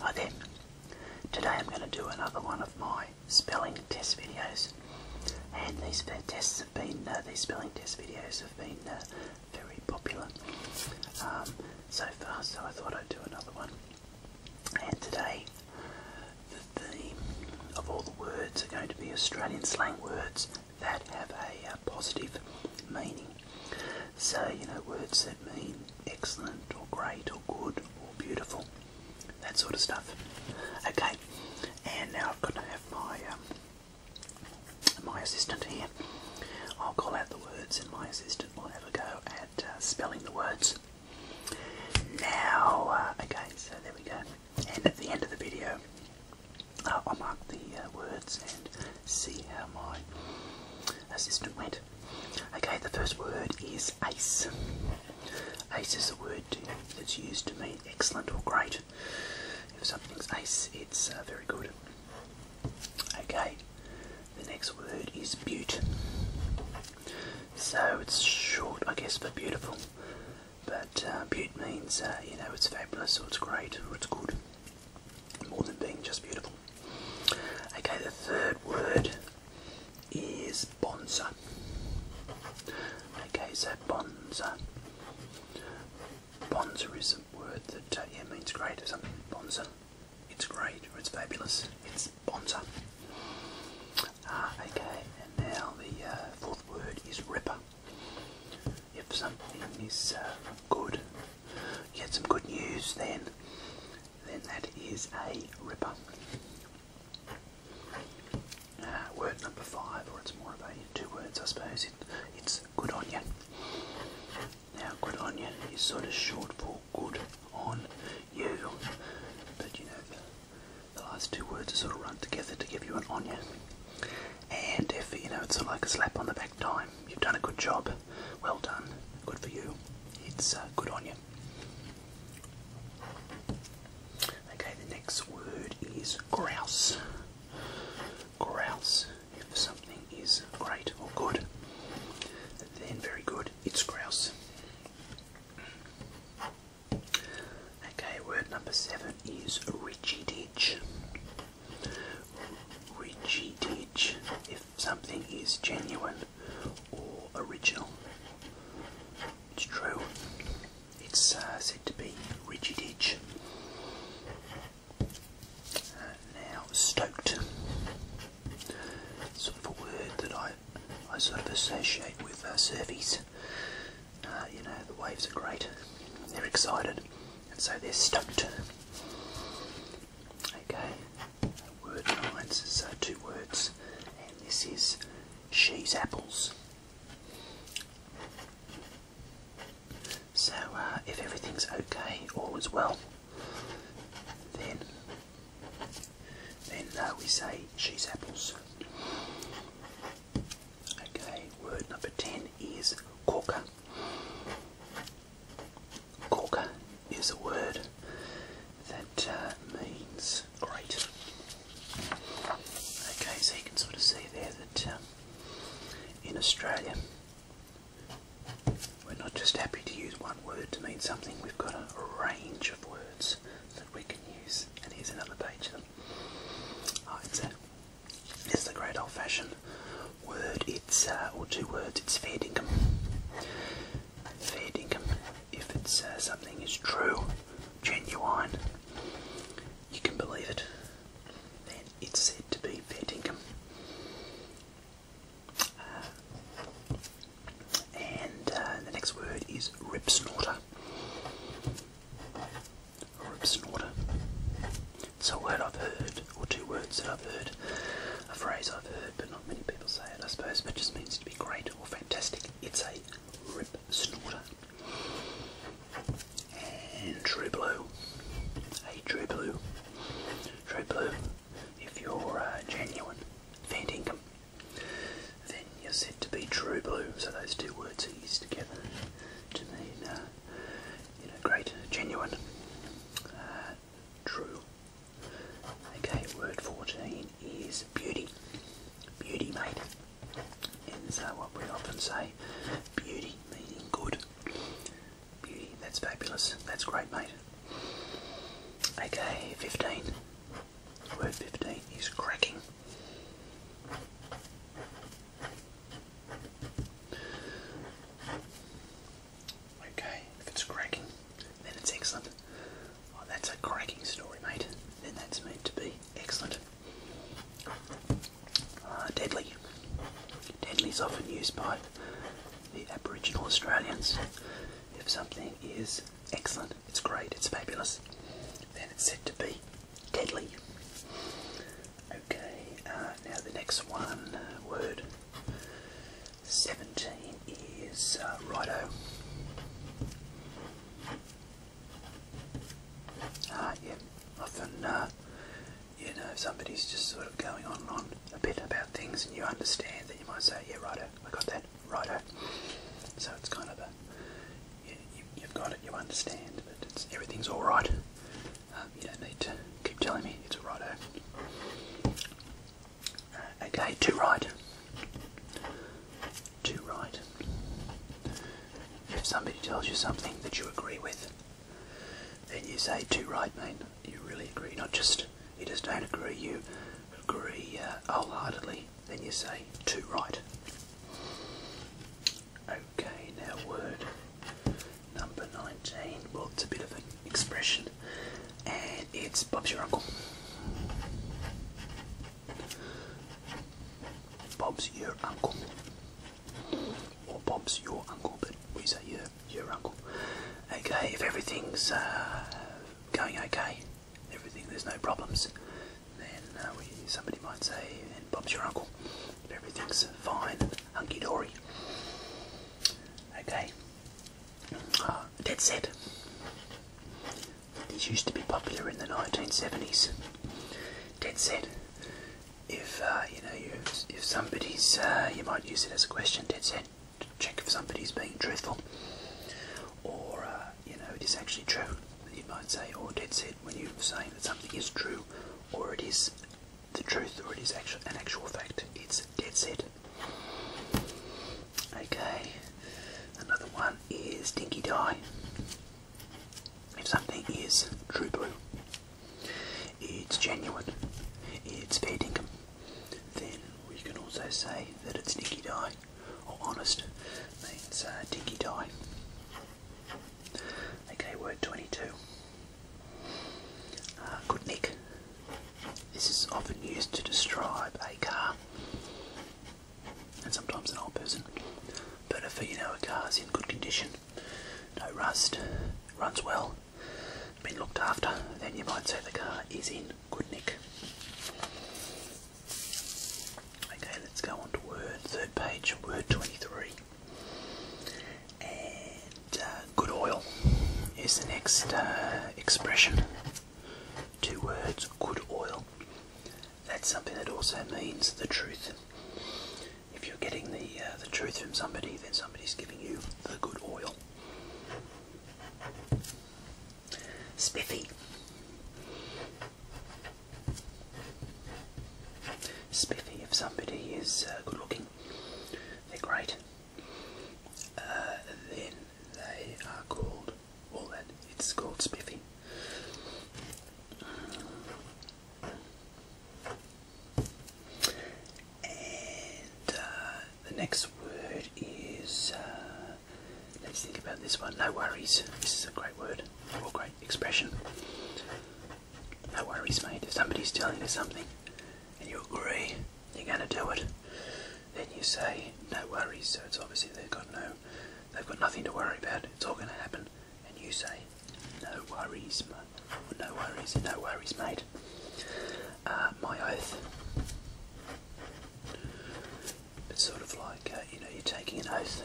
Hi there. Today I'm going to do another one of my spelling test videos, and these tests have been uh, these spelling test videos have been uh, very popular um, so far. So I thought I'd do another one. And today, the theme of all the words are going to be Australian slang words that have a uh, positive meaning. So, you know, words that mean excellent or great or good or beautiful, that sort of stuff. Okay, and now I've got to have my, um, my assistant here. I'll call out the words and my assistant will have a go at uh, spelling the words. Now, uh, okay, so there we go. And at the end of the video, uh, I'll mark the words and see how my assistant went. Okay, the first word is ace. Ace is a word that's used to mean excellent or great. If something's ace, it's uh, very good. Okay, the next word is butte. So it's short, I guess, for beautiful. But uh, butte means, uh, you know, it's fabulous or it's great or it's good. More than being just beautiful. Okay, the third word is bonza. Okay, so bonza. Bonza is a word that uh, yeah, means great or something. Bonza. It's great or it's fabulous. It's bonza. Uh, okay, and now the uh, fourth word is ripper. If something is uh, good, you get some good news, then then that is a ripper. Uh, word number five, or it's more of a two words, I suppose. it's good on you. Now, good on you is sort of short for good on you, but you know the, last two words are sort of run together to give you an onion. And if you know it's sort of like a slap on the back time, you've done a good job, well done, good for you it's uh, good on you. Okay, the next word is grouse. Grouse. If something is great or good, then very good, it's grouse. Okay, word number seven is rigidage. Rigidage. If something is genuine or original. It's true. It's uh, said to be rigid edge. now stoked. Sort of a word that I I sort of associate with uh, surfies. Uh, you know the waves are great. They're excited, and so they're stoked. Okay, word lines, so uh, two words, and this is cheese apples. So, uh, if everything's okay, all is well, then then uh, we say cheese apples. Okay, word number ten is corker. Gorka is a word that uh, means great. Okay, so you can sort of see there that um, in Australia we're not just happy to use one word to mean something, we've got a, range of words that we can use. And here's another page of them. Oh, it's, a, it's the great old fashioned word, it's, uh, or two words, it's fair feeding them if it's something is true, genuine, you can believe it, then it's said to be fair income. Uh, and uh, the next word is rip snorter. Rip snorter. It's a word I've heard, or two words that I've heard. A phrase I've heard, but not many people say it, I suppose, but just means to be great or fantastic. It's a rip snorter. And true blue. A true blue. True blue. If you're uh, genuine, fair income, then you're said to be true blue. So those two words are used together to mean, uh, you know, great, genuine, uh, true. Okay, word 14 is beauty. Beauty, mate. And so what we often say, beauty meaning good. Beauty, that's fabulous. That's great, mate. Okay, 15. Word 15 is cracking. Okay, if it's cracking, then it's excellent. Oh, that's a cracking story, mate. Then that's meant to be excellent. Uh, deadly. Deadly is often used by the Aboriginal Australians. If something is excellent, it's great, it's fabulous, then it's said to be deadly. Okay, uh, now the next one word 17 is uh, righto. Ah, yeah, often, uh, you know, if somebody's just sort of going on and on a bit about things and you understand that you might say, yeah, righto, I got that, righto. So it's kind of a, you, have got it, you understand, but it's, everything's alright. Um, you don't need to keep telling me it's a righto. Uh, okay, two right. Two right. If somebody tells you something that you agree with, then you say two right, man. You really agree, not just you just don't agree. You agree uh, wholeheartedly. Then you say two right. Okay, now word number nineteen. Well, it's a bit of an expression and it's Bob's Your Uncle. Bob's Your Uncle. Or Bob's Your Uncle, but we say your, your uncle. Okay, if everything's uh, going okay, everything, there's no problems, then uh, we, somebody might say, and Bob's your uncle. If everything's fine, hunky dory. Okay. Uh, Dead set. These used to be popular in the 1970s. Dead set. If uh, you know, if somebody's, uh, you might use it as a question. Dead set. check if somebody's being truthful, or uh, you know, it is actually true. You might say, or dead set when you're saying that something is true, or it is the truth, or it is actual an actual fact. It's dead set. Okay, another one is Dinky Dye. If something is true blue, it's genuine, it's fair dinkum, then we can also say that it's Dinky Dye, or honest means uh, Dinky Dye. Okay, word 22. Uh, good Nick this is often used to describe a car and sometimes an old person. But if you know a car is in good condition, no rust, runs well, been looked after, then you might say the car is in good nick. Okay, let's go on to Word, third page, Word 23. And uh, good oil is the next uh, expression. Two words, good oil. That's something that also means the truth. If you're getting the uh, the truth from somebody, then somebody's giving you the good oil. Spiffy. Spiffy. If somebody is uh, good looking, they're great. then they are called, well, that it's called spiffy. And uh, the next word is, uh, let's think about this one. No worries. This is a great word or great expression. No worries, mate. If somebody's telling you something and you agree, you're going to do it then you say no worries. So it's obviously they've got no, they've got nothing to worry about. It's all going to happen, and you say no worries, no worries, no worries, mate. Uh, my oath. It's sort of like uh, you know you're taking an oath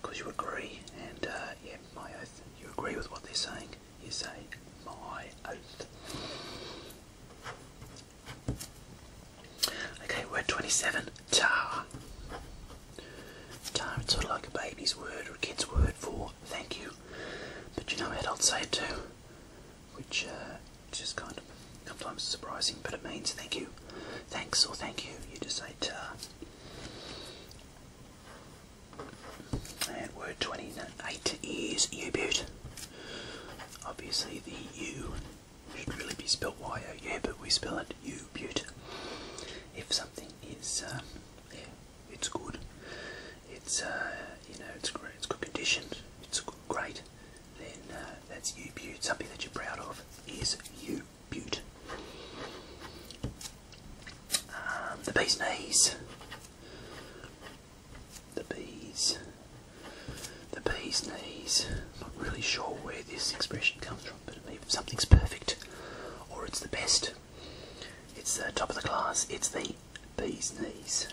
because you agree, and uh, yeah, my oath. You agree with what they're saying. You say my oath. Okay, word 27. Tar. Tar, it's sort of like a baby's word or a kid's word for thank you. But you know adults say it too. Which uh, is just kind of sometimes surprising, but it means thank you. Thanks or thank you. You just say tar. And word 28 is you beaut. Obviously, the U should really be spelt Y O, yeah, but we spell it U but If something is, uh, yeah, it's good, it's, uh, you know, it's great, it's good conditioned, it's great, then uh, that's U but Something that you're proud of is U but um, the bee's knees the bees, the bees' knees. Not really sure where this expression comes from, but either something's perfect or it's the best. It's the top of the class. It's the bees' knees.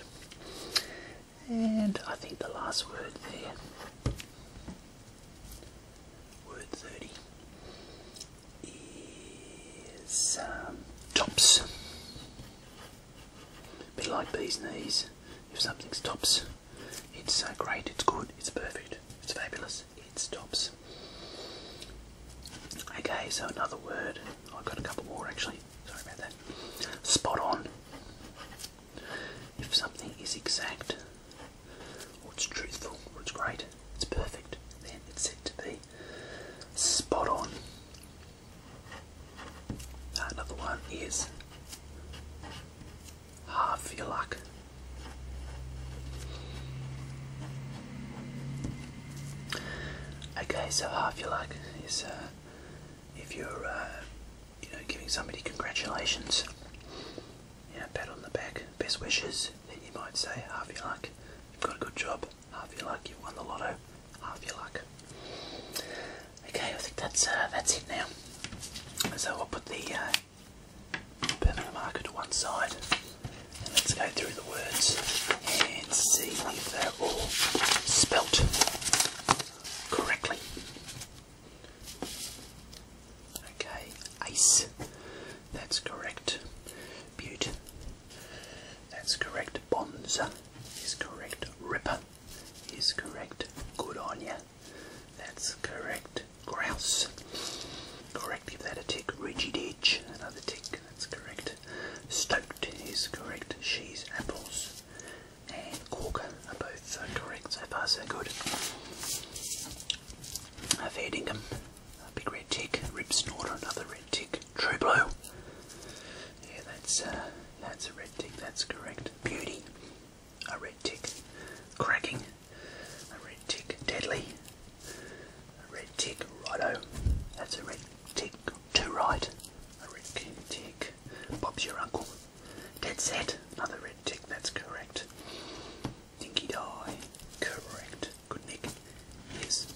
And I think the last word there. Word 30 is um, tops bit like these knees. If something stops, it's uh, great, it's good, it's perfect, it's fabulous, it stops. Okay, so another word. I've got a couple more actually. Sorry about that. Spot on. If something is exact, or it's truthful, or it's great, it's perfect, then it's said to be spot on. Another one is half your luck. Okay, so half your luck is uh, if you're uh, you know giving somebody congratulations, you know, pat on the back, best wishes. Then you might say half your luck. You've got a good job. Half your luck. You've won the lotto half your luck. Okay, I think that's uh, that's it now. So I'll put the uh, permanent marker to one side, and let's go through the words and see if they're all spelt correctly. Okay, ace. That's correct. Butte. That's correct. Bonza is correct. Ripper is correct. Good on ya. That's correct. Grouse. Correct. Give that a tick. Rigid edge. Another tick. That's correct. Stoked is correct. She's apples. And corker are both uh, correct. So far, so good. A fair A big red tick. Rip snorter. Another red tick. True blue. Yeah, that's uh, that's a red tick. That's correct. Beauty, a red tick. Cracking, a red tick. Deadly, a red tick. Righto, that's a red tick. To right, a red tick. Bob's your uncle. Dead set, another red tick. That's correct. Dinky die, correct. Good nick, yes,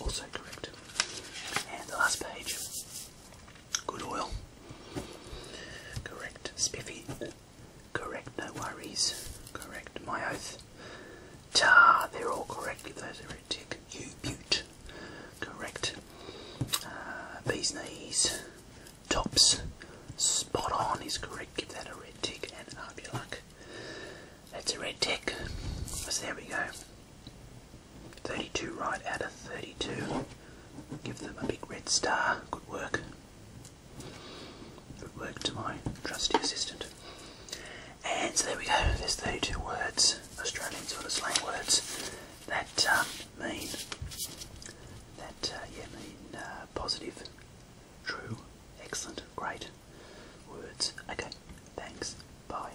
also correct. And the last page. Good oil. Correct. Spiffy. Correct. No worries. Correct. My oath. Ta. They're all correct. Give those a red tick. You butte. Correct. Uh, knees. Tops. Spot on is correct. Give that a red tick and up your luck. That's a red tick. So there we go. 32 right out of 32. Give them a big red star. Good work. Good work to my trusty assistant. And so there we go. There's 32 words, Australian sort of slang words, that um, mean that uh, yeah mean uh, positive, true, excellent, great words. Okay. Thanks. Bye.